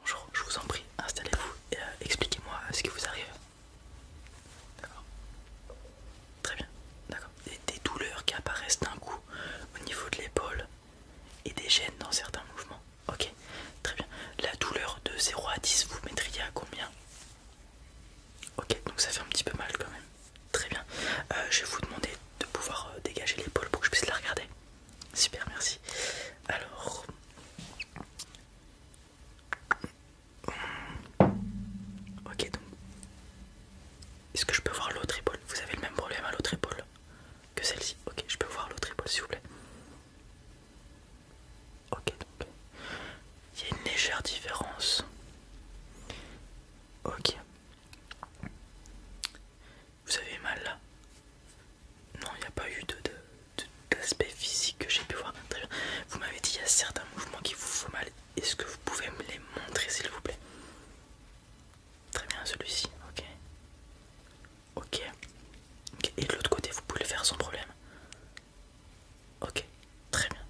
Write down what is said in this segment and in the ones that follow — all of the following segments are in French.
Bonjour, je vous en prie, installez-vous et euh, expliquez-moi euh, ce qui vous arrive. D'accord. Très bien, d'accord. Des, douleurs qui apparaissent d'un coup au niveau de l'épaule et des gênes dans certains mouvements. Ok, très bien. La douleur de 0 à 10, vous mettriez à combien Ok, donc ça fait un petit peu mal quand même. Très bien. Euh, je vais vous demander de pouvoir dégager l'épaule pour que je puisse la regarder. Super, merci. Alors, ok, donc, est-ce que je peux voir l'autre épaule Vous avez le même problème à l'autre épaule que celle-ci. Ok, je peux voir l'autre épaule, s'il vous plaît. Ok, donc, il y a une légère différence. Ok. Vous avez mal là Non, il n'y a pas eu d'aspect de, physique que j'ai pu voir. Très bien. Vous m'avez dit qu'il y a certains mouvements qui vous font mal. Est-ce que vous pouvez me les montrer s'il vous plaît Très bien, celui-ci, ok. Ok. Et de l'autre côté, vous pouvez le faire sans problème. Ok, très bien.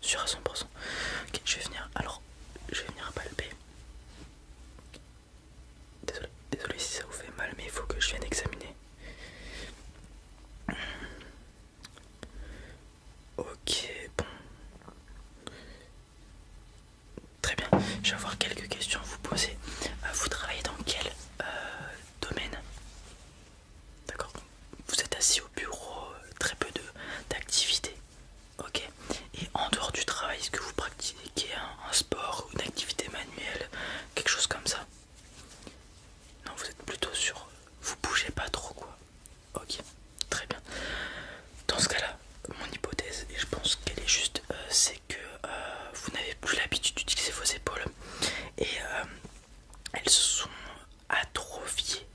sur à 100%. Ok, je vais venir. Alors, je vais venir palper. Désolé, si ça vous fait mal, mais il faut que je vienne examiner. Ok, bon. Très bien, je vais avoir quelques questions à vous poser. Euh, vous travaillez dans quel euh, domaine D'accord, vous êtes assis au bureau, euh, très peu d'activités. Ok, et en dehors du travail, est-ce que vous pratiquez un sport ou une activité manuelle quelque chose comme ça. Non, vous êtes plutôt sur vous bougez pas trop quoi. Ok, très bien. Dans ce cas-là, mon hypothèse, et je pense qu'elle est juste, euh, c'est que euh, vous n'avez plus l'habitude d'utiliser vos épaules et euh, elles se sont atrophiées.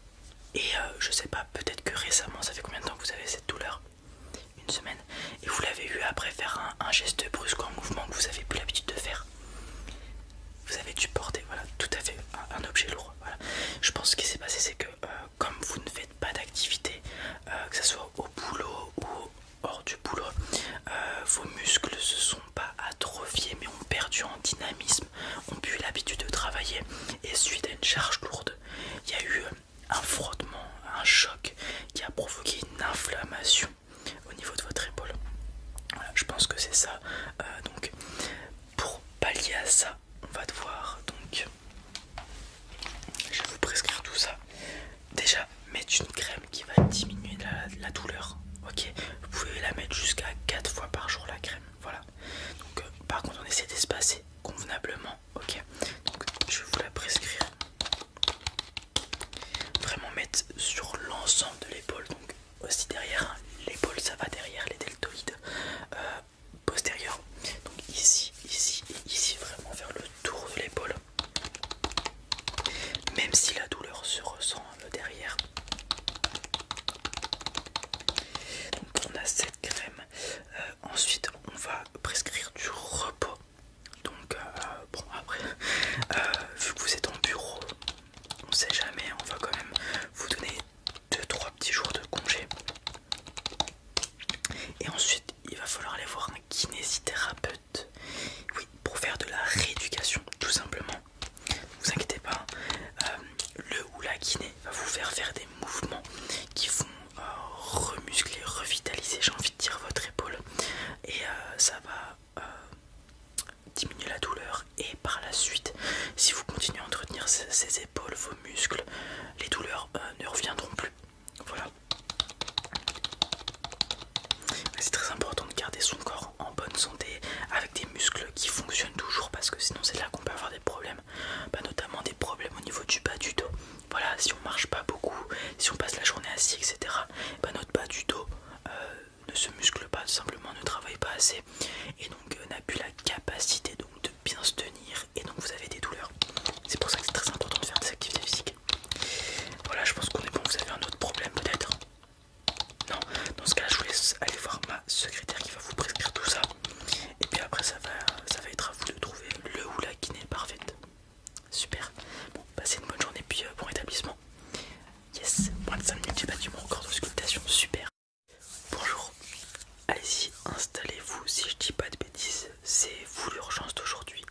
Et je sais pas, peut-être que récemment, ça fait combien de temps que vous avez cette douleur une semaine, et vous l'avez eu après faire un, geste brusque en mouvement que vous avez plus l'habitude de faire. Vous avez dû porter, voilà, tout à fait un, objet lourd. Je pense que ce qui s'est passé, c'est que euh, comme vous ne faites pas d'activité, euh, que ce soit au boulot ou hors du boulot, euh, vos muscles se sont pas atrophiés mais ont perdu en dynamisme, ont eu l'habitude de travailler et suite à une charge lourde, il y a eu un frottement, un choc qui a provoqué une inflammation au niveau de votre épaule. je pense que c'est ça. Euh, donc, pour pallier à ça, on va devoir donc, je vais vous prescrire tout ça. Déjà, mettre une crème qui va diminuer la, douleur. Ok, vous pouvez la mettre jusqu'à 4 fois par jour la crème. Voilà. Donc, euh, par contre, on essaie d'espacer convenablement. Ok, donc je vais vous la prescrire. Vraiment mettre sur l'ensemble de l'épaule, donc aussi derrière, hein, l'épaule ça va derrière les deltoïdes euh, postérieurs. Donc ici, ici et ici, vraiment vers le tour de l'épaule. Même si la douleur se ressent hein, derrière. Donc on a cette crème. Euh, ensuite on va prescrire du repos. Donc, euh, bon, après, euh, vu que vous êtes en bureau, on sait jamais, on va quand même vous donner 2-3 petits jours de congé. Et ensuite, il va falloir aller voir un kinésithérapeute oui, pour faire de la rééducation, tout simplement. Ne vous inquiétez pas, euh, le ou la kiné va vous faire faire des mouvements qui vont remuscler, revitaliser, j'ai envie de dire, votre épaule et euh, ça va euh, diminuer la douleur et par la suite si vous continuez à entretenir ces, épaules, vos muscles, les douleurs euh, ne reviendront plus. Voilà. C'est très important de garder son corps en bonne santé avec des muscles qui fonctionnent toujours parce que sinon c'est là qu'on peut avoir des problèmes, bah, notamment des problèmes au niveau du bas du dos voilà, si on marche pas beaucoup, si on passe la journée assis, etc., eh ben, notre bas du dos euh, ne se muscle pas, simplement ne travaille pas assez et donc euh, n'a plus la capacité donc, de bien se tenir et donc vous avez des douleurs. C'est pour ça que c'est très important de faire des activités physiques. Voilà, je pense qu'on est bon. Vous avez un autre problème peut-être Non, dans ce cas je vous laisse aller voir ma secrétaire qui va vous prescrire tout ça. Et puis après, ça va, ça va être à vous de trouver le ou la kiné parfaite. Super. Bon, passez une bonne journée, puis euh, bon établissement. Yes, moins de 5 minutes, j'ai battu mon record d'auscultation. Super. Bonjour. Allez-y, installez-vous. Si je dis pas de bêtises, c'est vous l'urgence d'aujourd'hui.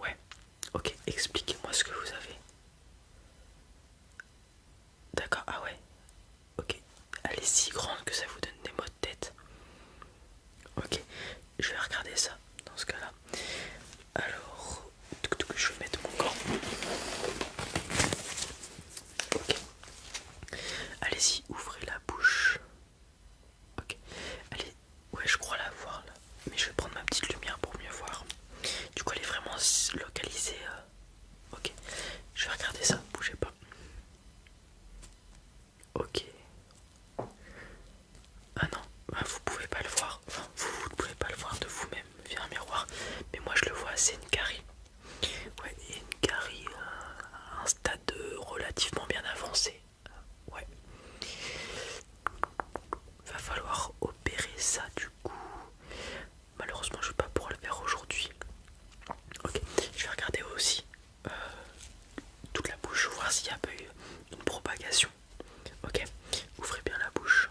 Ouais. Ok, expliquez-moi ce que vous avez. D'accord, ah ouais. Ok, elle est si grande que ça vous donne des maux de tête. Ok, je vais regarder ça dans ce cas-là. Alors, je vais mettre mon gant. Ok. Allez-y, ouvrez la bouche. Ok. Allez, ouais, je crois la voir là. Mais je vais prendre ma petite lumière pour mieux voir. Du coup, elle est vraiment localisée. Euh, ok. Je vais regarder ça, bougez pas. Ok. Ah non, ah, vous pouvez pas le voir. vous, vous ne pouvez pas le voir de vous-même via un miroir. Mais moi, je le vois, c'est une carie. Ouais, une carie à un stade relativement bien avancé. Ouais. Va falloir opérer ça du coup. Malheureusement, je ne vais pas pouvoir le faire aujourd'hui. Ok, je vais regarder aussi euh, toute la bouche, voir s'il n'y a pas eu une propagation. Ok, ouvrez bien la bouche.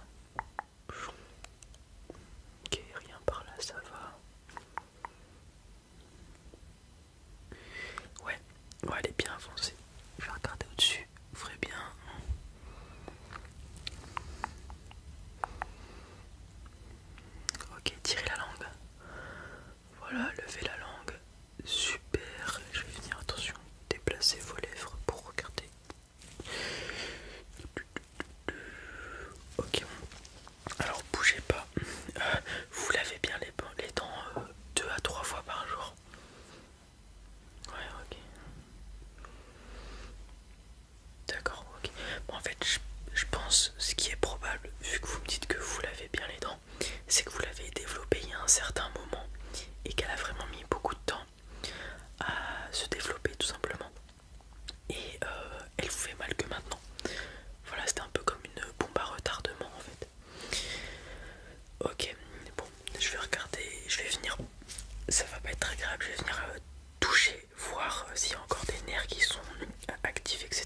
Ok, rien par là, ça va. Ouais, ouais, elle est bien avancée. Je vais regarder au-dessus, ouvrez bien. Ok, tirez la langue. Voilà, levez la langue. Super. Je vais venir, attention. Déplacez vos lèvres pour regarder. Ok, alors bougez pas. Euh, vous lavez bien les, dents 2 euh, à 3 fois par jour. Ouais, ok. D'accord, ok. en fait, je, je pense ce qui est probable, vu que vous me dites que vous lavez bien les dents, c'est que vous l'avez développée il y a un certain moment et qu'elle a vraiment mis beaucoup de temps à se développer tout simplement. Et euh, elle vous fait mal que maintenant. Voilà, c'était un peu comme une bombe à retardement en fait. Ok, bon, je vais regarder, je vais venir, ça va pas être très grave, je vais venir euh, toucher, voir euh, s'il y a encore des nerfs qui sont actifs, etc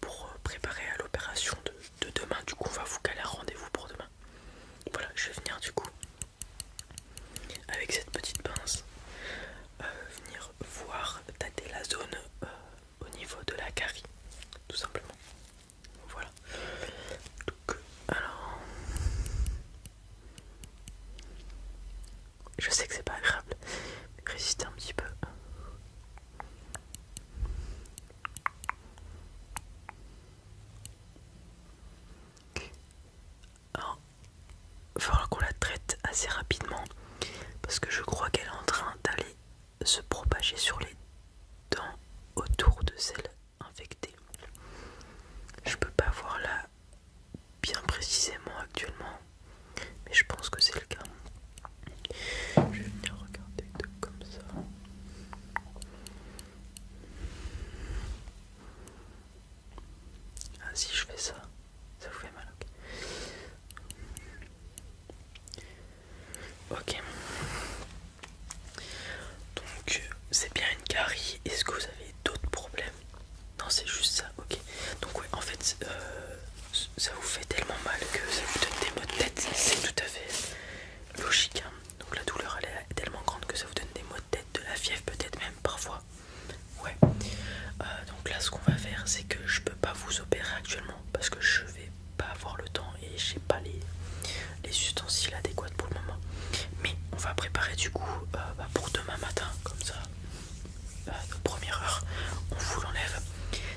pour euh, préparer à l'opération de, demain. Du coup, on va vous caler un rendez-vous pour demain. Voilà, je vais venir du coup avec cette petite pince euh, venir voir tâter la zone euh, au niveau de la carie, tout simplement. Voilà. Donc, alors, je sais que c'est pas agréable, mais un petit peu. Alors, oh. il va falloir qu'on la traite assez rapidement parce que je crois qu'elle est en train d'aller se propager sur les dents autour de celle infectée. Je peux pas voir là bien précisément actuellement, mais je pense que c'est le cas. Je vais venir regarder comme ça. Ah si je fais ça, ça vous fait mal. Ok. Donc c'est bien une carie. Est-ce que vous avez d'autres problèmes Non c'est juste ça. Ok. Donc ouais en fait euh, ça vous fait tellement mal que ça vous donne des maux de tête. C'est tout à fait logique. Hein. Donc la douleur elle est tellement grande que ça vous donne des maux de tête, de la fièvre peut-être même parfois. Ouais. Euh, donc là ce qu'on va faire c'est que je peux pas vous opérer actuellement parce que je vais pas avoir le temps et j'ai pas les, ustensiles adéquats pour le moment. Mais on va préparer du coup euh, bah, pour demain matin comme ça, euh, première heure, on vous l'enlève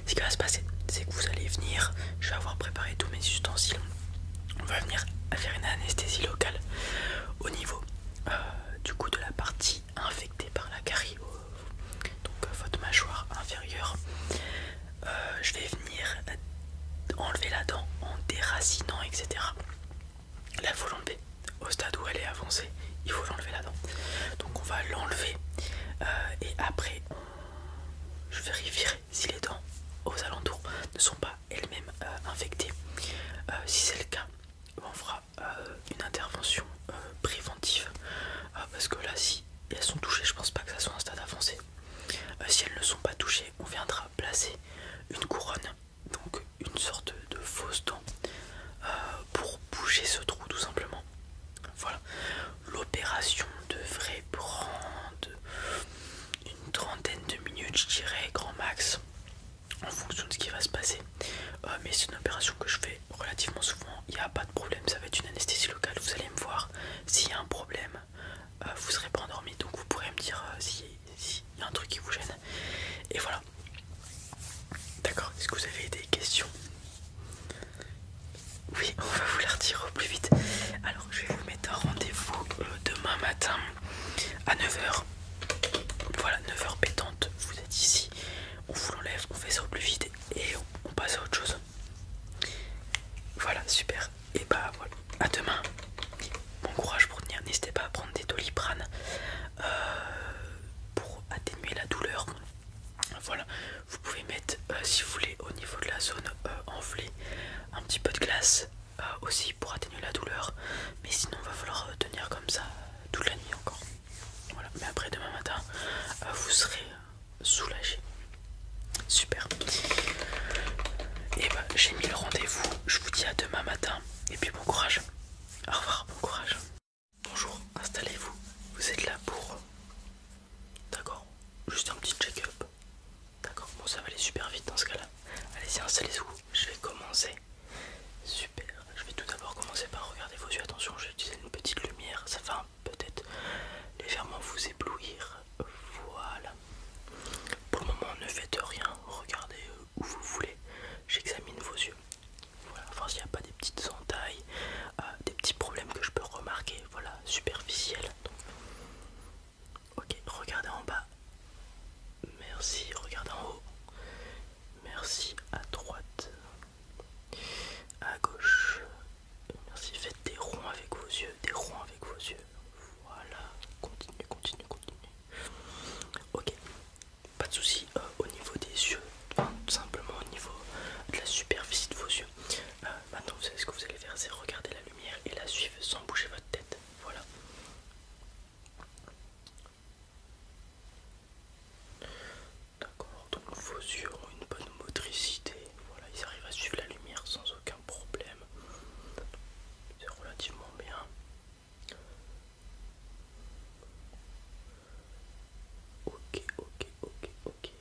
ce qui va se passer, c'est que vous allez venir, je vais avoir préparé tous mes ustensiles, on va venir faire une anesthésie locale au niveau euh, du coup de la partie infectée par la carie, donc euh, votre mâchoire inférieure. Euh, je vais venir enlever la dent en déracinant, etc. Là, il faut l'enlever. Au stade où elle est avancée, il faut l'enlever la dent. Donc, on va l'enlever et après, je révirer si les dents aux alentours ne sont pas elles-mêmes euh, infectées. Euh, si c'est le cas, on fera euh, une intervention préventive parce que là, si elles sont touchées, je pense pas que ça soit un stade avancé. si elles ne sont pas touchées, on viendra placer une couronne, donc une sorte de fausse dent pour bouger ce trou tout simplement. Voilà, L'opération devrait prendre une trentaine de minutes, je dirais, grand max, en fonction de ce qui va se passer. Euh, mais c'est une opération que je fais relativement souvent, il n'y a pas de problème, ça va être une anesthésie locale, vous allez me voir. S'il y a un problème, euh, vous serez pas endormi, donc vous pourrez me dire euh, s'il y a un truc qui vous gêne. Et voilà. D'accord, est-ce que vous avez des questions oui, on va vous la retirer au plus vite. Alors, je vais vous mettre un rendez-vous euh, demain matin à 9h. Voilà, 9h pétante, vous êtes ici. On vous l'enlève, on fait ça au plus vite et on passe à autre chose. Voilà, super. Et bah voilà, à demain. Bon courage pour tenir. N'hésitez pas à prendre des doliprane euh, pour atténuer la douleur. Voilà, vous pouvez mettre, euh, si vous voulez, au niveau de la zone euh, enflée, un petit peu de glace euh, aussi pour atténuer la douleur. Mais sinon, il va falloir tenir comme ça toute la nuit encore. Voilà. Mais après demain matin, vous serez soulagé. Super. Et eh ben, j'ai mis le rendez-vous. Je vous dis à demain matin. Et puis bon courage. Au revoir, bon courage. Bonjour, installez-vous. Vous êtes là pour D'accord Juste un petit check-up. D'accord Bon, ça va aller super vite dans ce cas-là. Allez-y, installez-vous. Je vais commencer. Super. Je vais tout d'abord commencer par regarder vos yeux. Attention, je vais utiliser une petite lumière. Ça va peut-être les légèrement vous éblouir. Voilà. Pour le moment, ne faites rien. Regardez euh, où vous voulez. J'examine vos yeux. Voilà, voir enfin, s'il n'y a pas des petites entailles, euh, des petits problèmes que je peux remarquer. Voilà, superficiels. Ok, regardez en bas. Merci, regardez en haut. Merci à droite. À gauche. Merci, faites des ronds avec vos yeux, des ronds avec vos yeux. Voilà, continue, continue, continue. Ok, pas de souci euh, au niveau des yeux, tout simplement au niveau de la superficie de vos yeux. Euh, maintenant vous savez ce que vous allez faire c'est regarder la lumière et la suivre sans bouger votre tête voilà d'accord donc vos yeux ont une bonne motricité voilà ils arrivent à suivre la lumière sans aucun problème c'est relativement bien ok ok ok ok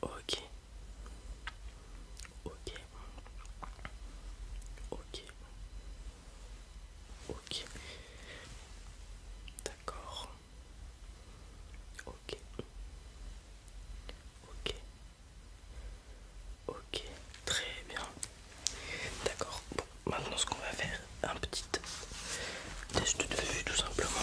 Ok. Ok. Ok. Ok. D'accord. Ok. Ok. Ok. Très bien. D'accord. Bon, maintenant ce qu'on va faire, un petit test de vue tout simplement.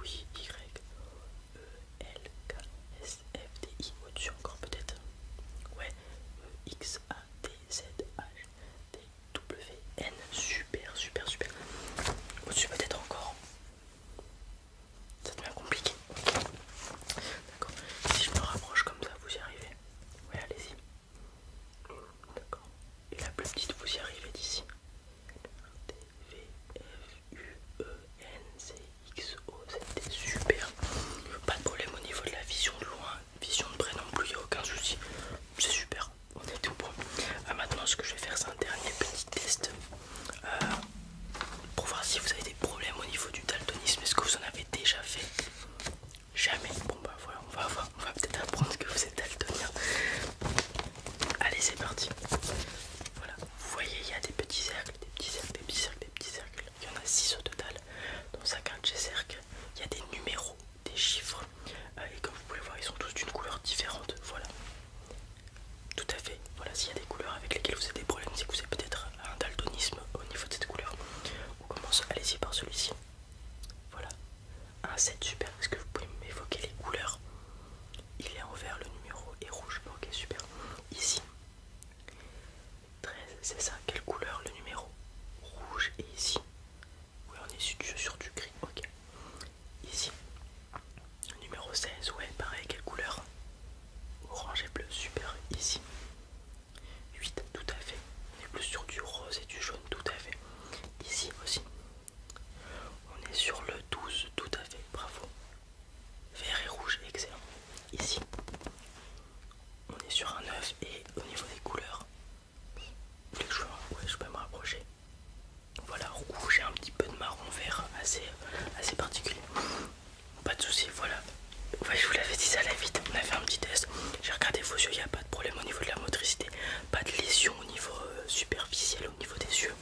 oui, Y, E, L, K, S, F, D, I, au-dessus encore peut-être. Ouais, E, X, A, D, Z, H, D, W, N. Super, super, super. Au-dessus peut-être encore. Ça devient compliqué. D'accord. Si je me rapproche comme ça, vous y arrivez. Ouais, allez-y. D'accord. Et la plus petite, vous y arrivez d'ici. F, U, E, N, X, O, c'était super. Pas de problème au niveau de la vision de loin, vision de près non plus, il n'y a aucun souci. C'est super, on est tout bon. Euh, maintenant, ce que je vais faire, c'est un dernier petit test euh, pour voir si vous avez des problèmes au niveau du daltonisme. Est-ce que vous en avez déjà fait Jamais. Bon, bah voilà, on va voir. On va peut-être apprendre que vous êtes daltonien. Allez, c'est parti. Voilà, vous voyez, il y a des petits cercles, des petits cercles, des petits cercles, des petits cercles. Il y en a 6 au total. Dans chacun de ces cercles, il y a des numéros, des chiffres. Euh, et comme vous pouvez voir, ils sont tous d'une couleur différente. Voilà. Tout à fait. Voilà, s'il y a des couleurs avec lesquelles vous avez des problèmes, c'est que vous avez peut-être un daltonisme au niveau de cette couleur. On commence, allez-y par celui-ci. Voilà, un ah, 7 super, est-ce que vous pouvez m'évoquer les couleurs Il est en vert, le numéro et rouge. Ok, super. Ici, 13, c'est ça. Quelle couleur le numéro Rouge et ici. Oui, on est sur, sur du gris. Ok. Ici, numéro 16, ouais, pareil, quelle couleur Orange et bleu, super. Ici, 8, tout à fait. On est plus sur du rose et du jaune, tout à fait. Ici aussi, on est sur le 12, tout à fait, bravo. Vert et rouge, excellent. Ici, on est sur un 9 et au niveau des couleurs, je peux me rapprocher. Voilà, rouge et un petit peu de marron vert, assez, particulier. Pas de soucis, voilà. je vous l'avais dit ça à la vite, on a fait un petit test. J'ai regardé vos yeux, il n'y a pas de problème au niveau de la motricité, pas de lésion au niveau euh, superficiel, au niveau des yeux.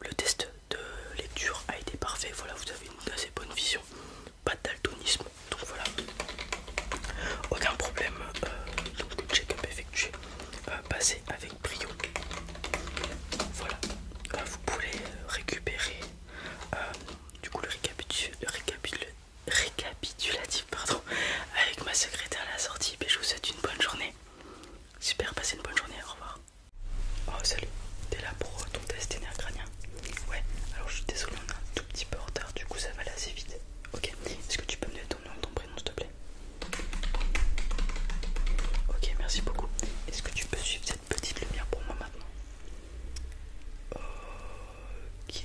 Le test de lecture a été parfait, voilà, vous avez une assez bonne vision, pas de daltonisme, donc voilà, aucun problème. Euh, le check-up effectué, euh, passé avec brio. Voilà, vous pouvez récupérer du coup le récapitulatif. Récapitulatif, pardon, avec ma secrétaire à la sortie. Et je vous souhaite une bonne journée. Super, passez une bonne journée, au revoir. Oh salut, t'es là pour euh, ton test énergranien Ouais, alors je suis désolée, on est un tout petit peu en retard, du coup ça va aller assez vite. Ok, est-ce que tu peux me donner ton nom et ton prénom s'il te plaît Ok, merci beaucoup. Est-ce que tu peux suivre cette petite lumière pour moi maintenant Ok.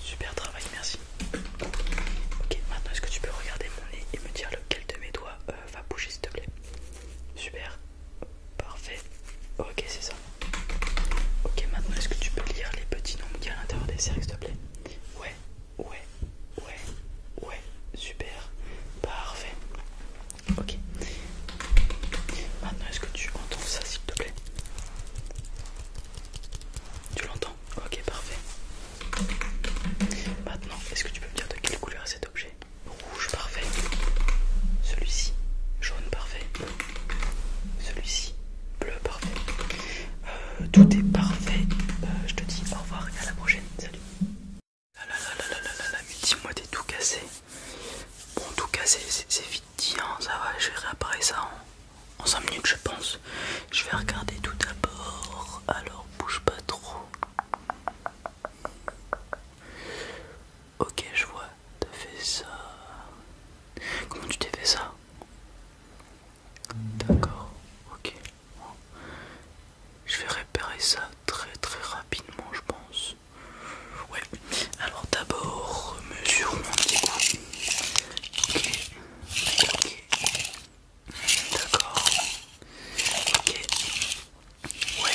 Super travail, merci. Ok, maintenant est-ce que tu peux regarder mon nez et me dire lequel de mes doigts euh, va bouger s'il te plaît Super, parfait. Ok, c'est ça. Ok, maintenant est-ce que tu peux lire les petits nombres qu'il y a à l'intérieur des cercles s'il te plaît Ouais, ouais, ouais, ouais, super, parfait. Ok. Maintenant est-ce que tu entends ça s'il te plaît Tu l'entends Ok, parfait. Maintenant, est-ce que tu peux me dire de quelle couleur est cet objet Rouge, parfait. Celui-ci, jaune, parfait. Celui-ci, bleu, parfait. tout est parfait. je te dis au revoir et à la prochaine. Salut. Là, là, là, là, là, là, dis-moi, t'es tout cassé. Bon, tout cassé, c'est vite tiens ça va je vais réparer ça en, 5 minutes je pense je vais regarder tout d'abord alors bouge pas trop ok je vois t'as fait ça comment tu t'es fait ça d'accord ok je vais réparer ça très très rapidement je pense Ouais, alors d'abord mesurons Ok, D'accord. Ok. Ouais.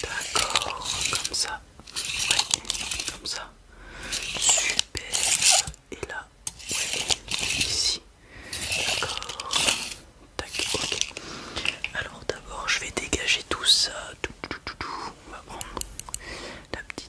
D'accord. Comme ça. Ouais. Comme ça. Super. Et là. Ouais. Ici. D'accord. Tac. Ok. Alors d'abord je vais dégager tout ça. Tout, tout, tout, tout. On va prendre la petite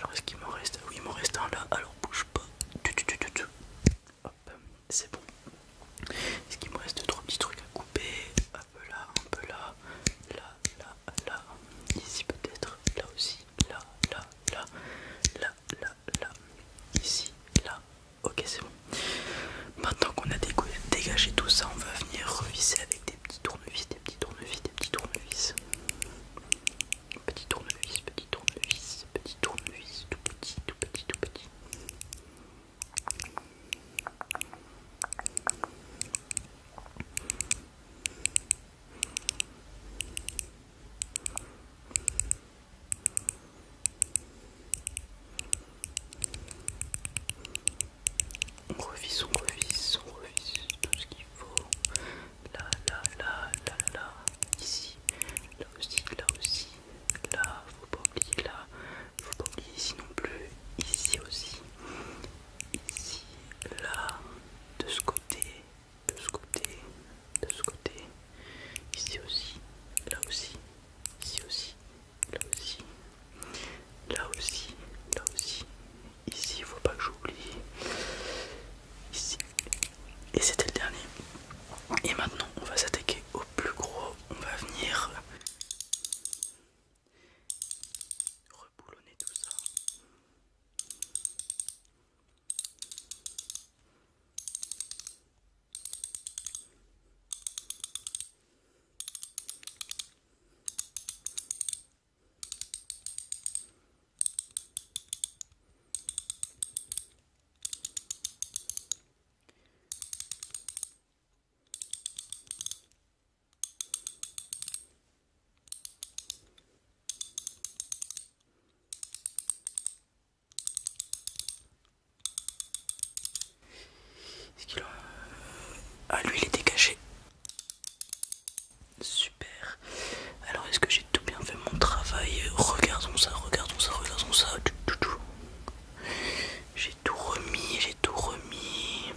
Alors est-ce qu'il me reste Oui il m'en reste un là, alors bouge pas. Hop, c'est bon. Est-ce qu'il me reste trois petits trucs à couper un peu là, un peu là, là, là, là, ici peut-être, là aussi, là, là, là, là, là, là, ici, là. Ok, c'est bon. Maintenant qu'on a dégagé tout ça, on va venir revisser avec des petits tournevis, des petits tournevis, des petits tournevis. Petit tournevis, petit tournevis, petit tournevis, tout petit, tout petit, tout petit. On revisse, on revisse, on revisse tout ce qu'il faut. Là, là, là, là, là, là, ici, là aussi, là aussi, là faut pas oublier là faut pas oublier ici non plus ici aussi ici là de ce côté de ce côté de ce côté ici aussi là aussi ici aussi là aussi là aussi là aussi ici faut pas que j'oublie ici et c'était le dernier et maintenant on va s'attaquer au plus gros on va venir Reboulonner tout ça ce qu'il a... Ah lui il était caché. Super. Alors est-ce que j'ai tout bien fait mon travail Regardons ça, regardons ça, regardons ça. J'ai tout remis, j'ai tout remis.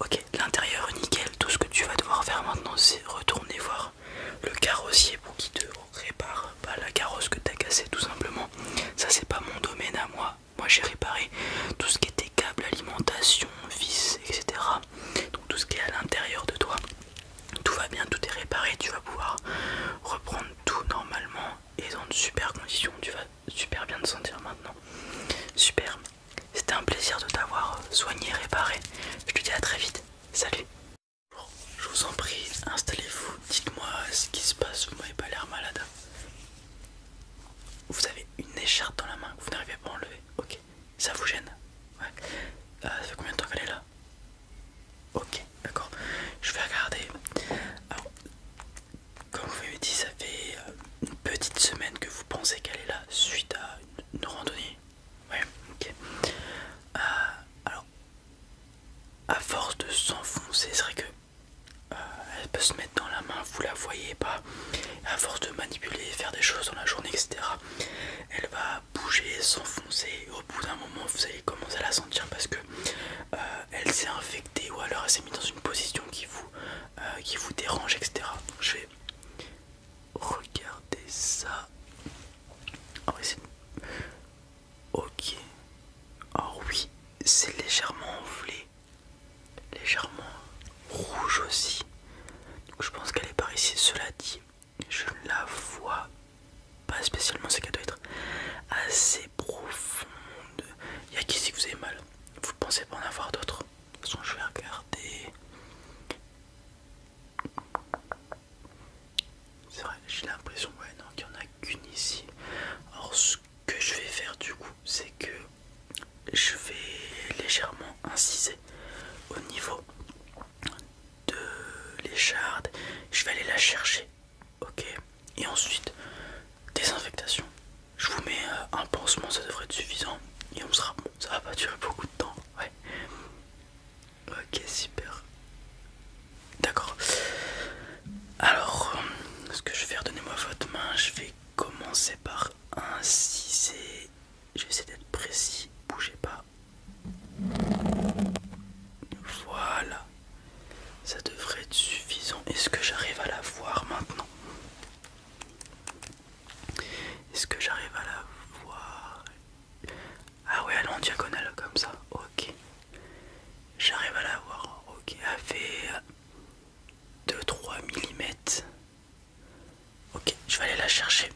Ok, l'intérieur nickel. Tout ce que tu vas devoir faire maintenant, c'est retourner voir le carrossier pour qu'il te répare pas la carrosse que t'as cassée, tout simplement. Ça, c'est pas mon domaine à moi. Moi, j'ai réparé tout ce qui était câble, alimentation, vis, etc. Donc tout ce qui est à l'intérieur de toi tout va bien, tout est réparé, tu vas pouvoir reprendre tout normalement et dans de super conditions, tu vas super bien te sentir maintenant. Super, c'était un plaisir de t'avoir euh, soigné, réparé. Je te dis à très vite, salut. je vous en prie, installez-vous, dites-moi ce qui se passe, vous n'avez pas l'air malade. Vous avez une écharpe dans la main vous n'arrivez pas à enlever, ok, ça vous gêne Ouais, euh, ça fait combien de temps qu'elle est là Ok, d'accord. Je vais regarder. Alors, comme vous m'avez dit, ça fait euh, une petite semaine que vous pensez qu'elle est là suite à une randonnée. Ouais, ok. Euh, alors, à force de s'enfoncer, c'est vrai que euh, elle peut se mettre dans la main, vous la voyez pas. À force de manipuler, faire des choses dans la journée, etc. Elle va bouger, s'enfoncer. Au bout d'un moment, vous commence à la sentir parce que euh, elle s'est infectée ou alors elle s'est mise dans une position qui vous, euh, qui vous dérange, etc. je vais regarder ça. Ah ok. Oh oui, c'est légèrement enflé, légèrement rouge aussi. je pense qu'elle est par ici. Cela dit, je la vois pas spécialement, c'est qu'elle doit être assez profonde. Il y a qu'ici que vous avez mal. Vous pensez pas en avoir d'autres De toute façon, je vais regarder. C'est vrai, j'ai l'impression ouais, non, qu'il n'y en a qu'une ici. Alors, ce que je vais faire du coup, c'est que je vais légèrement inciser au niveau de l'écharde. Je vais aller la chercher Ok, et ensuite désinfectation. Je vous mets euh, un pansement, ça devrait être suffisant. Et on sera ça va pas durer beaucoup de temps. Ouais. Ok, super. D'accord. Alors, euh, ce que je vais faire, donnez-moi votre main. Je vais commencer par inciser. J'essaie d'être précis. Bougez pas. Voilà. Ça devrait être suffisant. Est-ce que j'arrive à la voir maintenant Est-ce que j'arrive à la voir Ah ouais, elle est en diagonale comme ça. Ok. J'arrive à la voir. Ok. Elle fait 2-3 mm. Ok, je vais aller la chercher.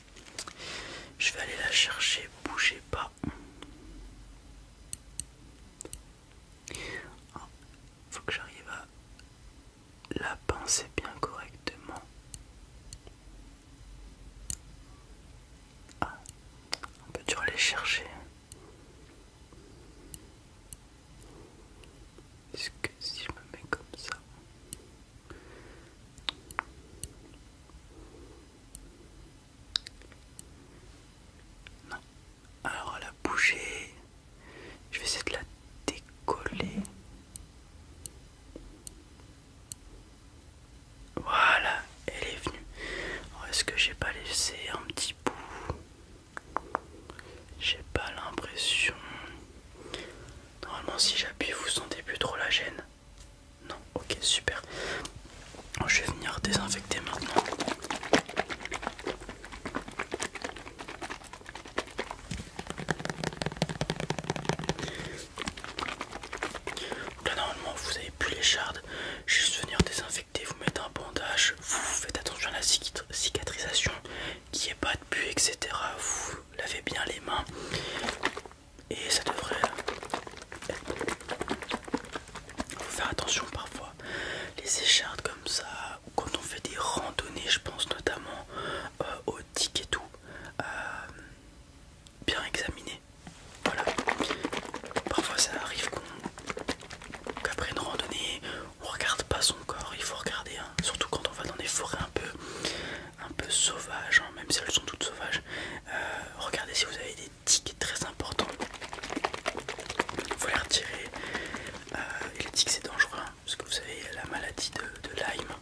Je vais aller la chercher. Bougez pas. Ah, faut que j'arrive à la penser bien correctement. Ah, un peu dur les chercher. Est-ce que si je me mets comme ça non. Alors la bouger, je vais essayer de la décoller. Voilà, elle est venue. Est-ce que j'ai pas laissé un petit bout J'ai pas l'impression. Normalement, si j'appuie, vous sentez plus trop la gêne. Non, ok, super. Je vais venir désinfecter maintenant. Là normalement vous avez plus les shards, juste venir désinfecter, vous mettre un bandage, vous faites attention à la cicatrisation, qui est pas de bu etc. Vous lavez bien les mains et ça devrait euh, faire attention parfois, les échardes comme ça, ou quand on fait des randonnées, je pense notamment aux euh, au et tout, euh, bien examiner. Voilà, parfois ça arrive qu'après une randonnée, on regarde pas son corps, il faut regarder, hein. surtout quand on va dans des forêts un peu un peu sauvages, hein, même si elles sont toutes sauvages. regardez si vous avez des est très important, Il faut les retirer. et les tics c'est dangereux, hein, parce que vous savez, il y a la maladie de, Lyme.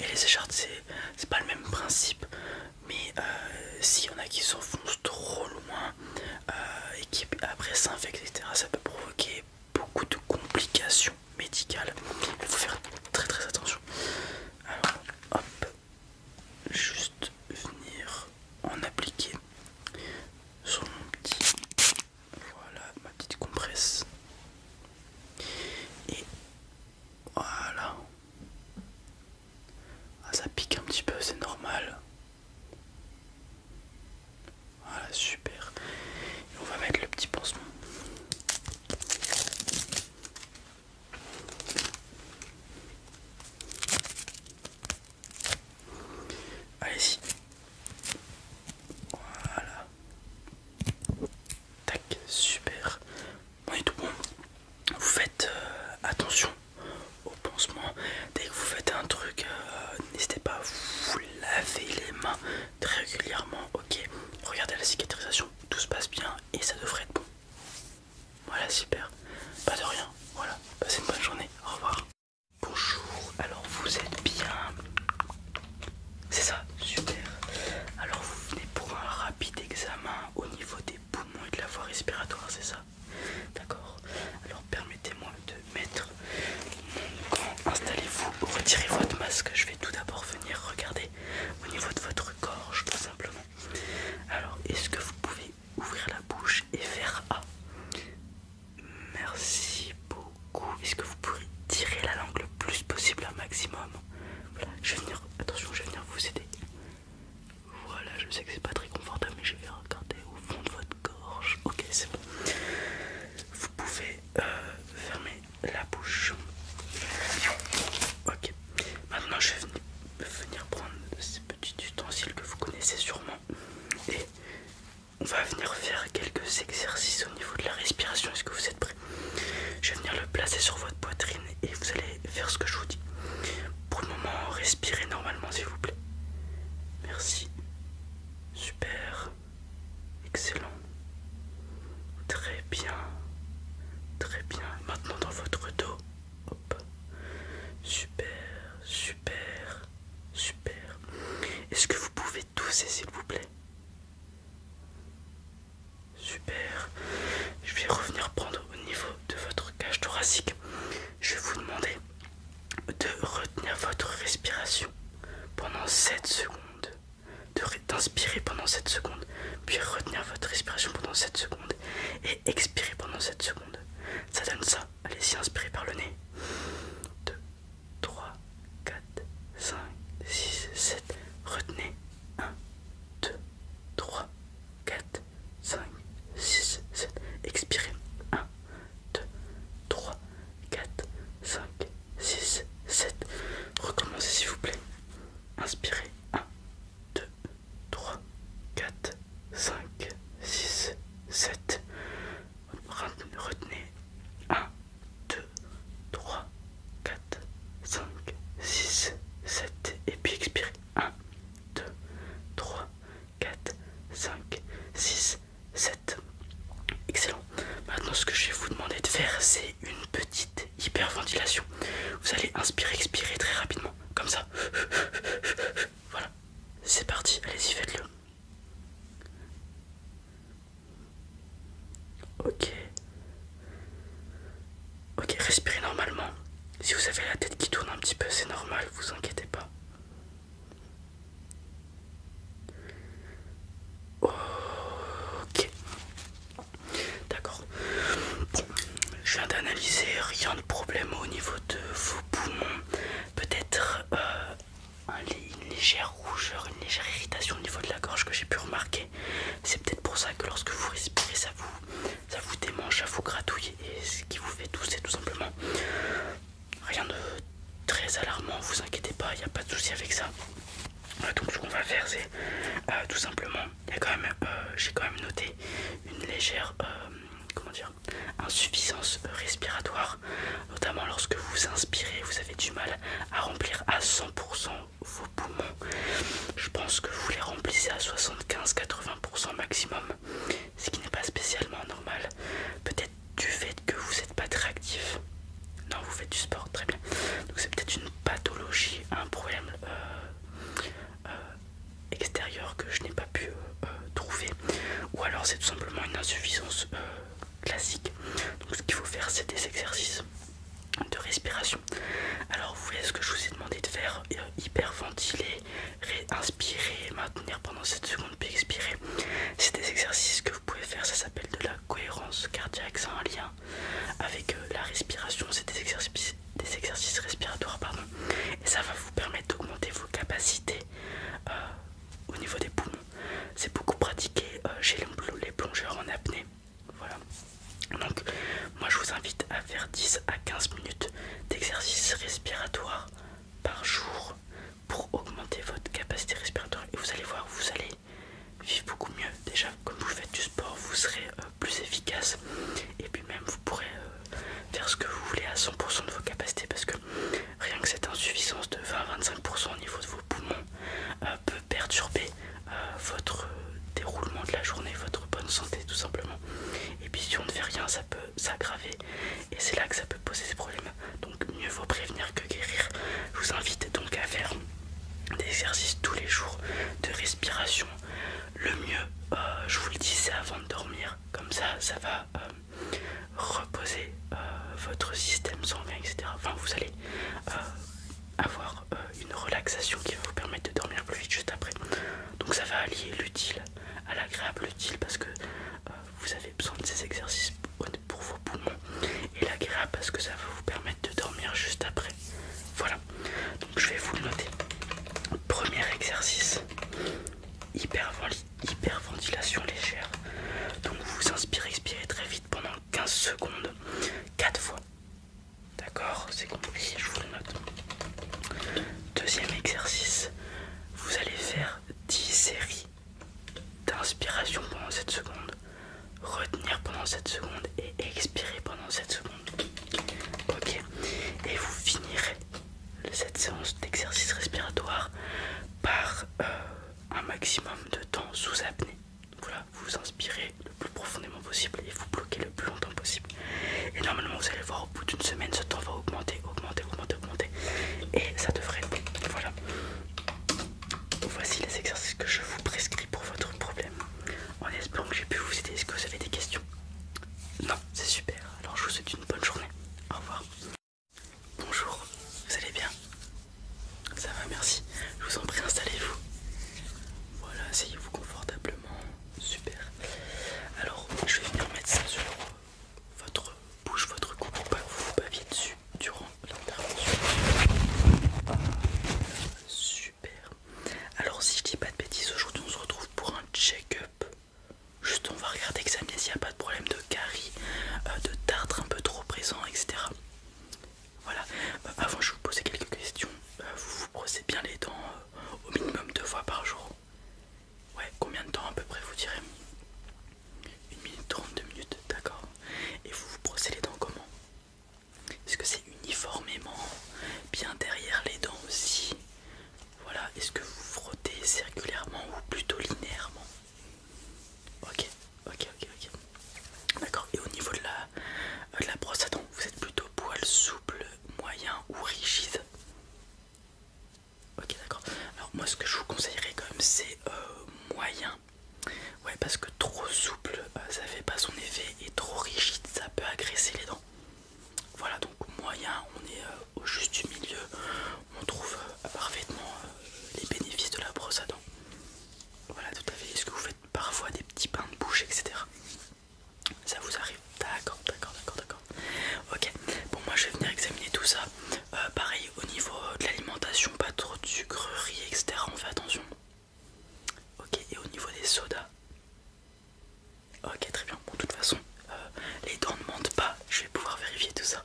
Et les échardes, c'est pas le même principe, mais euh, s'il y en a qui s'enfoncent trop loin euh, et qui après s'infectent, etc., ça peut provoquer beaucoup de complications médicales. Il faut faire très très attention. Alors, juste venir en appliquer sur mon petit voilà ma petite compresse et voilà ah, ça pique un petit peu c'est normal voilà super on va mettre le petit pansement Allez-y. Voilà. Tac, super. On est tout bon. Vous faites euh, attention au pansement. Dès que vous faites un truc, euh, n'hésitez pas à vous laver les mains très régulièrement. Ok, regardez la cicatrisation, tout se passe bien et ça devrait être bon. Voilà, super. Pas de rien. Voilà, passez une bonne journée. Au revoir. Bonjour, alors vous êtes bien. C'est ça, super. Alors vous venez pour un rapide examen au niveau des poumons et de la voie respiratoire, c'est ça D'accord. Alors permettez-moi de mettre mon gant. Installez-vous, retirez votre masque. Je vais tout d'abord venir regarder au niveau de votre gorge, tout simplement. Alors, est-ce que vous pouvez ouvrir la bouche et faire A Merci beaucoup. Est-ce que vous pourrez tirer la langue le plus possible, un maximum je vais venir. Attention, je vais venir vous aider. Voilà, je sais que c'est pas très confortable, mais je vais regarder au fond de votre gorge. Ok, c'est bon. Vous pouvez euh, fermer la bouche. Ok, Maintenant, je vais venir prendre ces petits ustensiles que vous connaissez sûrement et on va venir faire quelques exercices au niveau de la respiration. Est-ce que vous êtes prêts Je vais venir le placer sur votre poitrine et vous allez faire ce que je vous dis. Pour le moment, respirez normalement, s'il vous plaît. Merci. Super. Excellent. Très bien. Très bien. Maintenant dans votre dos. Super, super, super. Est-ce que vous pouvez tousser s'il vous plaît Super. Je vais revenir prendre au niveau de votre cage thoracique. Je vais vous demander de retenir votre respiration pendant 7 secondes. Inspirez pendant 7 secondes, puis retenir votre respiration pendant 7 secondes et expirez pendant 7 secondes. Ça donne ça. Allez-y, inspirez par le nez. 2, 3, 4, 5, 6, 7. Retenez. 1, 2, 3, 4, 5, 6, 7. Expirez. 1, 2, 3, 4, 5, 6, 7. Recommencez s'il vous plaît. Inspirez. 1, 2, 3, 4, 5, 6, 7. Retenez 1, 2, 3, 4, 5, 6, 7. Et puis expirez 1, 2, 3, 4, 5, 6, 7. Excellent. Maintenant, ce que je vais vous demander de faire, c'est une petite hyperventilation. Vous allez inspirer, expirer très rapidement, comme ça. Voilà, c'est parti, allez-y, faites-le. Ok. Ok, respirez normalement. Si vous avez la tête qui tourne un petit peu, c'est normal, vous inquiétez pas. Ok. D'accord. je viens d'analyser, rien de problème au niveau de vos poumons. Peut-être euh, une légère rougeur, une légère irritation au niveau de la gorge que j'ai pu remarquer. C'est peut-être pour ça que lorsque vous respirez, ça vous, ça vous démange, ça vous gratouille et ce qui vous fait c'est tout simplement. Rien de très alarmant, vous inquiétez pas, il n'y a pas de souci avec ça. Donc ce qu'on va faire c'est euh, tout simplement quand même, euh, j'ai quand même noté une légère, euh, comment insuffisance euh, respiratoire, notamment lorsque vous inspirez, vous avez du mal à remplir à 100% vos poumons. Je pense que vous les remplissez à 75-80% maximum, ce qui n'est pas spécialement normal. Peut-être du fait que vous n'êtes pas très actif. Non, vous faites du sport, très bien. Donc c'est peut-être une pathologie, un problème euh, extérieur que je n'ai pas pu euh, trouver ou alors c'est tout simplement une insuffisance euh, classique donc ce qu'il faut faire c'est des exercices de respiration alors vous voyez ce que je vous ai demandé de faire hyperventiler inspirer maintenir pendant 7 secondes puis expirer c'est des exercices que vous pouvez faire ça s'appelle de la cohérence cardiaque c'est un lien euh, avec euh, la respiration, c'est des exercices, des exercices respiratoires pardon, et ça va vous permettre d'augmenter vos capacités euh, au niveau des poumons. C'est beaucoup pratiqué chez les plongeurs en apnée. Voilà. Donc moi je vous invite à faire 10 à 15 minutes d'exercices respiratoires par jour pour augmenter votre capacité respiratoire et vous allez voir, vous allez vivre beaucoup mieux déjà comme vous faites du sport vous serez euh, plus efficace et puis même vous pourrez euh, faire ce que vous voulez à 100% de vos capacités parce que rien que cette insuffisance de 20-25% au niveau de vos poumons euh, peut perturber votre déroulement de la journée, votre bonne santé tout simplement. Et puis si on ne fait rien ça peut s'aggraver et c'est là que ça peut poser des problèmes. Donc mieux vaut prévenir que guérir. Je vous invite donc à faire des exercices tous les jours de respiration, le mieux, euh, je vous le dis, c'est avant de dormir. Comme ça, ça va euh, reposer euh, votre système sanguin, etc. Enfin, vous allez avoir une relaxation qui va vous permettre de dormir plus vite juste après. Donc, ça va allier l'utile à l'agréable utile parce que vous avez besoin de ces exercices pour vos poumons et l'agréable parce que ça va vous permettre de dormir juste après voilà, donc je vais vous le noter. Premier exercice hyperventilation légère. Donc vous inspirez, expirez très vite pendant 15 secondes, 4 fois. D'accord C'est compliqué, je vous le note. Deuxième exercice, vous allez faire 10 séries d'inspiration pendant 7 secondes, retenir pendant 7 secondes et expirer pendant 7 secondes. Ok, et vous finirez cette séance d'exercice respiratoire par euh, un maximum de temps sous apnée. Voilà, vous, inspirez le plus profondément possible et vous bloquez le plus longtemps possible. Et normalement, vous allez voir au bout d'une semaine, ce temps va augmenter, augmenter, augmenter, augmenter. Et ça devrait Voilà. Voici les exercices que je vous prescris pour votre problème en espérant que j'ai pu vous aider. Est-ce que vous avez des questions Non, c'est super. Alors je vous souhaite une bonne journée. Au revoir. Bonjour, vous allez bien Ça va, merci. Je vous en prie, installez-vous. Voilà, asseyez-vous confortablement. Super. Alors, je vais venir mettre ça sur votre bouche, votre cou, pour pas que vous vous paviez dessus durant l'intervention. Ah, super, alors si je dis pas de bêtises, aujourd'hui on se retrouve pour un check-up. Juste on va regarder, examiner s'il n'y a pas de problème de carie, euh, de tartre un peu trop présent, etc. Voilà, euh, avant je vais vous poser quelques questions. Euh, vous vous brossez bien les dents au minimum deux fois par jour Ouais, combien de temps à peu près vous direz Une minute trente, minutes, d'accord. Et vous vous brossez les dents comment est-ce que c'est uniformément bien derrière les dents aussi Voilà, est-ce que vous frottez circulairement ou plutôt linéairement Ok, ok, ok, ok. D'accord, et au niveau euh, de la, brosse à dents, vous êtes plutôt poil souple, moyen ou rigide Ok, d'accord. Alors moi ce que je vous conseillerais quand même c'est euh, moyen. Ouais, parce que trop souple, euh, ça fait pas son effet et trop rigide, ça peut agresser les dents. Voilà, donc moyen, on est euh, au juste du milieu. On trouve euh, parfaitement euh, les bénéfices de la brosse à dents. Voilà, tout à fait. Est-ce que vous faites parfois des petits pains de bouche, etc. Ça vous arrive D'accord, d'accord, d'accord, d'accord. Ok, bon, moi je vais venir examiner tout ça. pareil, au niveau de l'alimentation, pas trop de sucreries, etc. On fait attention. Ok, et au niveau des sodas Ok, très bien. Bon, de toute façon, euh, les dents ne mentent pas. Je vais pouvoir vérifier tout ça.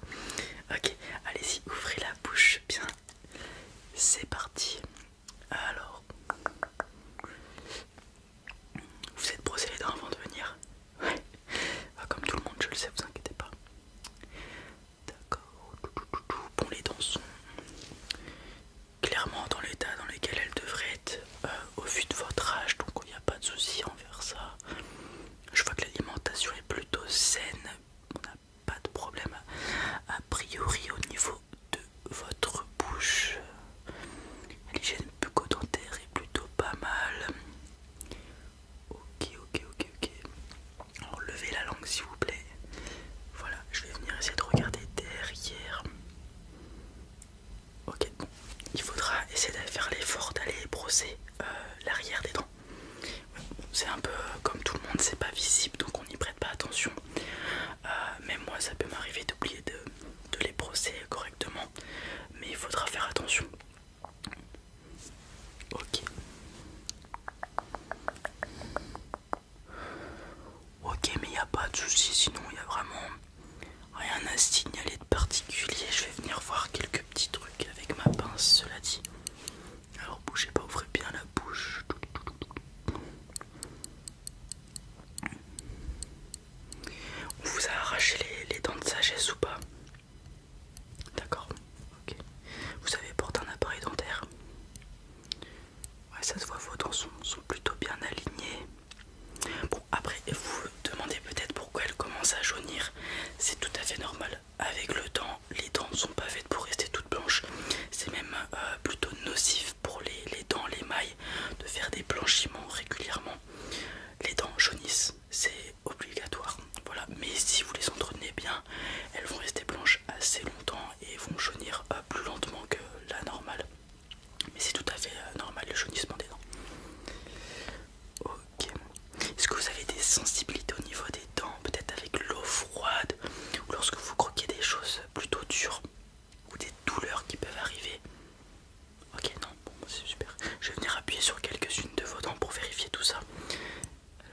Ok, allez-y, ouvrez la bouche bien. C'est parti. Alors, vous êtes brossé les dents avant de venir Oui. Ah, comme tout le monde, je le sais, vous inquiétez pas. D'accord. Bon, les dents sont clairement dans l'état dans lequel elle devrait être euh, au vu de votre âge, donc il n'y a pas de souci envers ça. Je vois que l'alimentation est plutôt saine, on n'a pas de problème a priori au niveau de votre bouche. L'hygiène bucodentaire est plutôt pas mal. Ok, ok, ok, ok. Alors la langue s'il vous plaît. Voilà, je vais venir essayer de regarder derrière. Ok, il faudra essayer de faire l'effort d'aller brosser euh, l'arrière des dents. C'est un peu comme tout le monde, c'est pas visible donc on n'y prête pas attention. Euh, mais même moi, ça peut m'arriver d'oublier de les brosser correctement, mais il faudra faire attention. Ok. Ok, mais il n'y a pas de souci, sinon il n'y a vraiment rien à signaler de particulier. Je vais venir voir quelques petits trucs avec ma pince, cela dit. Alors bougez pas, ouvrez bien la bouche. On vous a arraché les, les dents de sagesse ou pas D'accord, ok. Vous avez porté un appareil dentaire Ouais, ça se voit, vos dents sont, plutôt bien alignées. Bon, après, vous vous demandez peut-être pourquoi elles commencent à jaunir. C'est tout à fait normal. Avec le temps, les dents ne sont pas faites pour rester toutes blanches. C'est même euh, plutôt nocif pour les, dents, les mailles, de faire des blanchiments régulièrement. Les dents jaunissent, c'est obligatoire. Voilà, mais si vous les entretenez bien, elles vont rester blanches assez longtemps et vont jaunir euh, plus lentement que la normale. Mais c'est tout à fait euh, normal le jaunissement des dents. Ok. Est-ce que vous avez des sensibilités au niveau des dents, peut-être avec l'eau froide ou lorsque vous croquez des choses plutôt dures ou des douleurs qui peuvent arriver Ok, non, bon, bah, c'est super. Je vais venir appuyer sur quelques-unes de vos dents pour vérifier tout ça.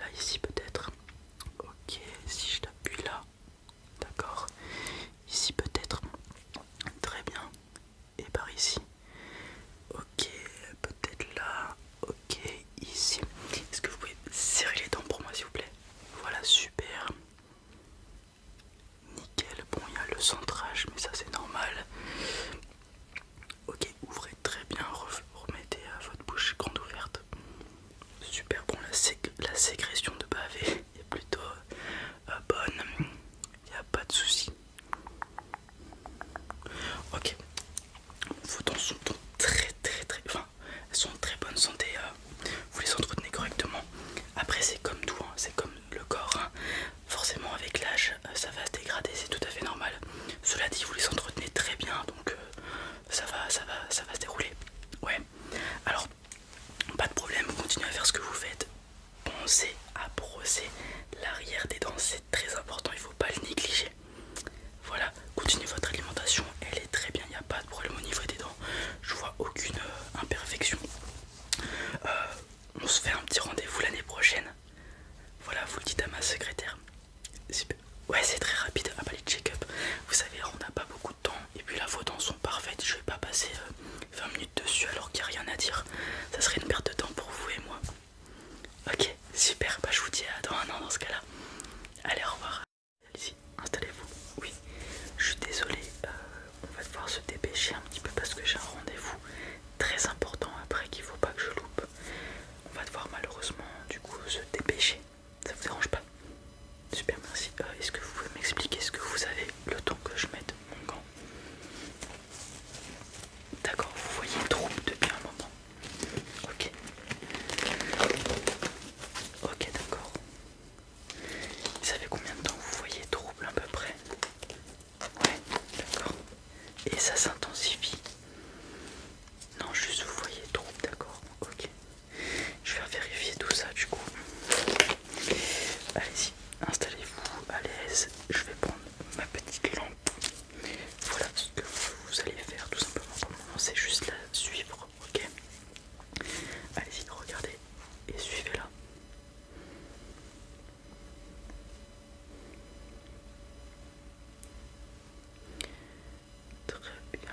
Là, ici peut-être. Ok, si je t'appuie là. D'accord Ici peut-être. Très bien. Et par ici. Ok, peut-être là. Ok, ici. Est-ce que vous pouvez serrer les dents pour moi s'il vous plaît Voilà, super. Nickel. Bon, il y a le centrage, mais ça c'est normal. Ok, ouvrez très bien, remettez à votre bouche grande ouverte. Super, bon, la, la sécrétion de bavé est plutôt euh, bonne, il n'y a pas de souci. Ok, vos dents sont très très très... Enfin, elles sont très bonne santé, euh. vous les entretenez correctement. Après c'est comme tout, hein. c'est comme le corps. Hein. Forcément avec l'âge euh, ça va se dégrader, c'est tout à fait normal. Cela dit, vous les entretenez très bien, donc ça, va, ça, va, ça va se dérouler. Ouais. Alors pas de problème, continuez à faire ce que vous faites. Pensez à brosser l'arrière des dents, c'est très important, il ne faut pas le négliger. Voilà, continuez votre alimentation, elle est très bien, il n'y a pas de problème au niveau des dents. Je vois aucune euh, imperfection. Euh, on se fait un petit rendez-vous l'année prochaine. Voilà, vous le dites à ma secrétaire. Ouais, c'est très rapide. Ah bah les check-up, vous savez, on n'a pas beaucoup de temps et puis la vos sont parfaites. Je vais pas passer 20 euh, minutes dessus alors qu'il n'y a rien à dire. Ça serait une perte de temps pour vous et moi. Ok, super. Bah je vous dis à dans un an dans ce cas-là. Allez, au revoir. Allez-y, installez-vous. Oui, je suis désolé. Euh, on va devoir se dépêcher un petit peu parce que j'ai un rendez-vous très important après qu'il faut pas que je loupe. On va devoir malheureusement du coup se dépêcher. Ça vous dérange pas Super, merci. Euh, est-ce que vous pouvez m'expliquer ce que vous avez le temps que je mette mon gant D'accord, vous voyez trouble depuis un moment. Ok. Ok, d'accord. Vous savez combien de temps vous voyez trouble à peu près Ouais, d'accord. Et ça s'intensifie Non, juste vous voyez trouble, d'accord. Ok. Je vais vérifier tout ça du coup. Allez-y, installez-vous à l'aise. Je vais prendre ma petite lampe. Voilà ce que vous allez faire tout simplement pour le c'est juste la suivre, ok Allez-y, regardez et suivez-la. Très bien.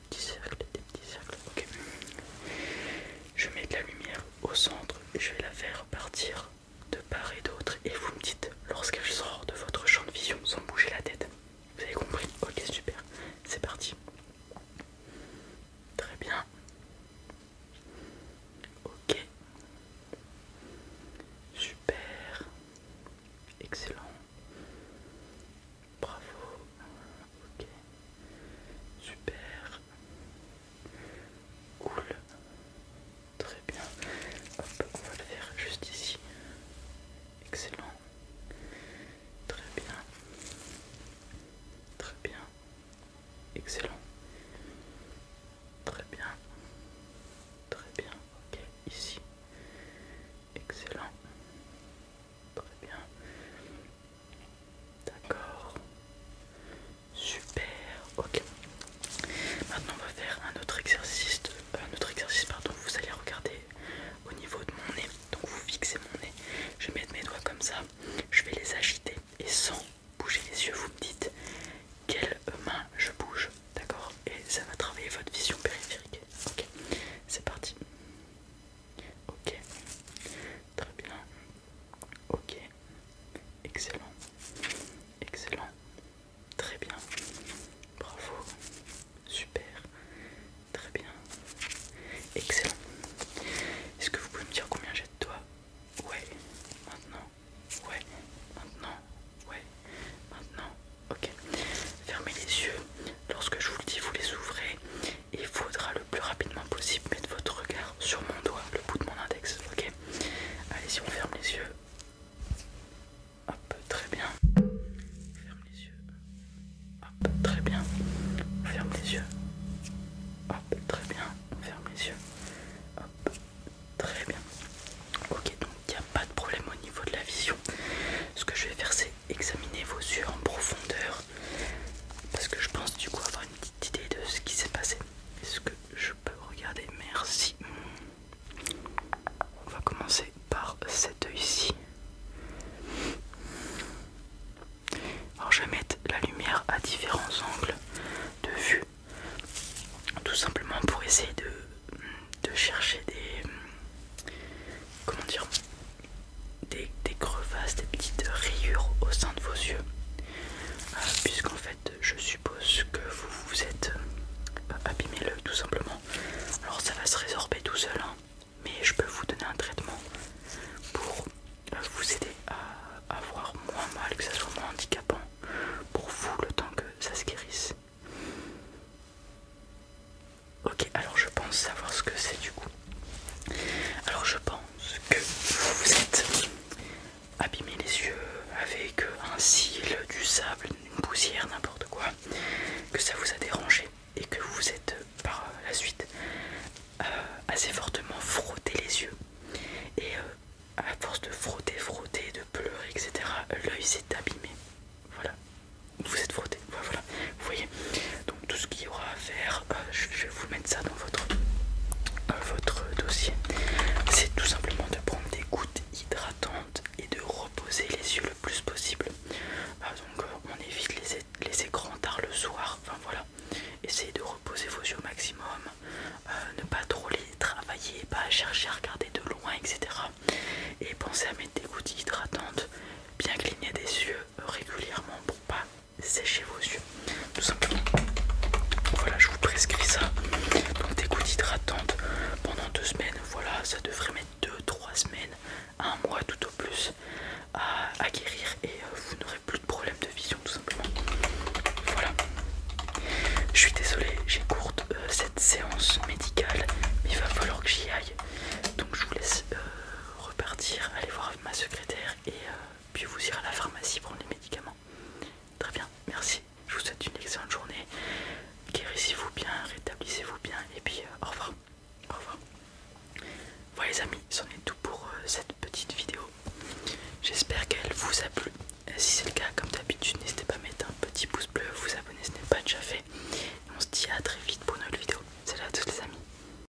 des petits cercles, des petits cercles. Ok. Je mets de la lumière au centre et je vais la faire partir de part et d'autre. Et vous me dites lorsqu'elle sort de votre champ de vision sans bouger la tête. Vous avez compris Ok, super. C'est parti. Très bien. Ok. Super. Excellent. Bravo. Ok. Super. Cool. Très bien. Hop, on va le faire juste ici. Excellent. Très bien. Très bien. Excellent. Très bien. Très bien. Ok, ici. Excellent. Très bien. D'accord. Super. Ok. Maintenant, on va faire un autre exercice. Euh, un autre exercice, pardon. Vous allez regarder au niveau de mon nez. Donc, vous fixez mon nez. Je vais mettre mes doigts comme ça. Je vais les agiter et sans bouger les yeux, vous me dites quelle main je bouge. D'accord. Et ça va travailler votre vision périphérique. Ok. C'est parti. Ok, très bien. Ok, excellent, excellent, très bien. Bravo, super, très bien, excellent. Est-ce que vous pouvez me dire combien j'ai de doigts Ouais, maintenant, ouais, maintenant, ouais, maintenant. Ok, fermez les yeux. Lorsque je vous le dis, vous les ouvrez il faudra le plus rapidement possible mettre votre regard sur mon doigt, le bout de mon index. Ok Allez, si on ferme les yeux. Hop, très bien. ferme les yeux. Hop, très bien. ferme les yeux. Hop, très bien. ferme les yeux. Hop, très bien. Ok, donc il n'y a pas de problème au niveau de la vision. Ce que je vais faire, c'est examiner vos yeux en profondeur parce que je pense du coup avoir une petite idée de ce qui s'est passé. Est-ce que je peux regarder Merci. On va commencer par cet œil ici. Alors je vais mettre la lumière à différents angles de vue, tout simplement pour essayer de chercher des comment dire des, crevasses, des petites rayures au sein de vos yeux. Euh, puisqu'en fait, je suppose que vous vous êtes euh, abîmé tout simplement. Alors ça va se résorber tout seul, hein. mais je peux vous donner un traitement pour euh, vous aider à avoir moins mal, que ça soit moins handicapant pour vous le temps que ça se guérisse. Ok, alors je pense savoir ce que c'est du coup. Alors je pense que vous vous êtes abîmé les yeux avec un cil, du sable, une poussière, n'importe quoi, que ça vous a dérangé et que vous vous êtes par la suite euh, assez fortement frotté les yeux. Et euh, à force de frotter, frotter, de pleurer, etc., l'œil s'est abîmé. Voilà, vous êtes frotté, voilà, vous voyez, tout ce qu'il y aura à faire euh, je, vais vous mettre ça dans votre euh, votre dossier c'est tout simplement de prendre des gouttes hydratantes et de reposer les yeux le plus possible ah, donc euh, on évite les, écrans tard le soir enfin voilà essayez de reposer vos yeux au maximum ne pas trop les travailler pas chercher à regarder de loin etc et pensez à mettre des gouttes hydratantes bien cligner des yeux régulièrement pour pas Séchez vos yeux tout simplement voilà je vous prescris ça donc des gouttes hydratantes pendant deux semaines voilà ça devrait mettre deux trois semaines un mois tout au plus à, guérir et euh, vous n'aurez plus de problème de vision tout simplement voilà je suis désolé j'ai courte euh, cette séance médicale mais il va falloir que j'y aille donc je vous laisse euh, repartir aller voir ma secrétaire et puis vous irez à la pharmacie prendre les médicaments. Très bien, merci. Je vous souhaite une excellente journée. Guérissez-vous bien, rétablissez-vous bien, et puis euh, au revoir. Au revoir. Voilà les amis, c'en est tout pour euh, cette petite vidéo. J'espère qu'elle vous a plu. si c'est le cas, comme d'habitude, n'hésitez pas à mettre un petit pouce bleu, vous abonner, ce n'est pas déjà fait. on se dit à très vite pour une autre vidéo. Salut à tous les amis.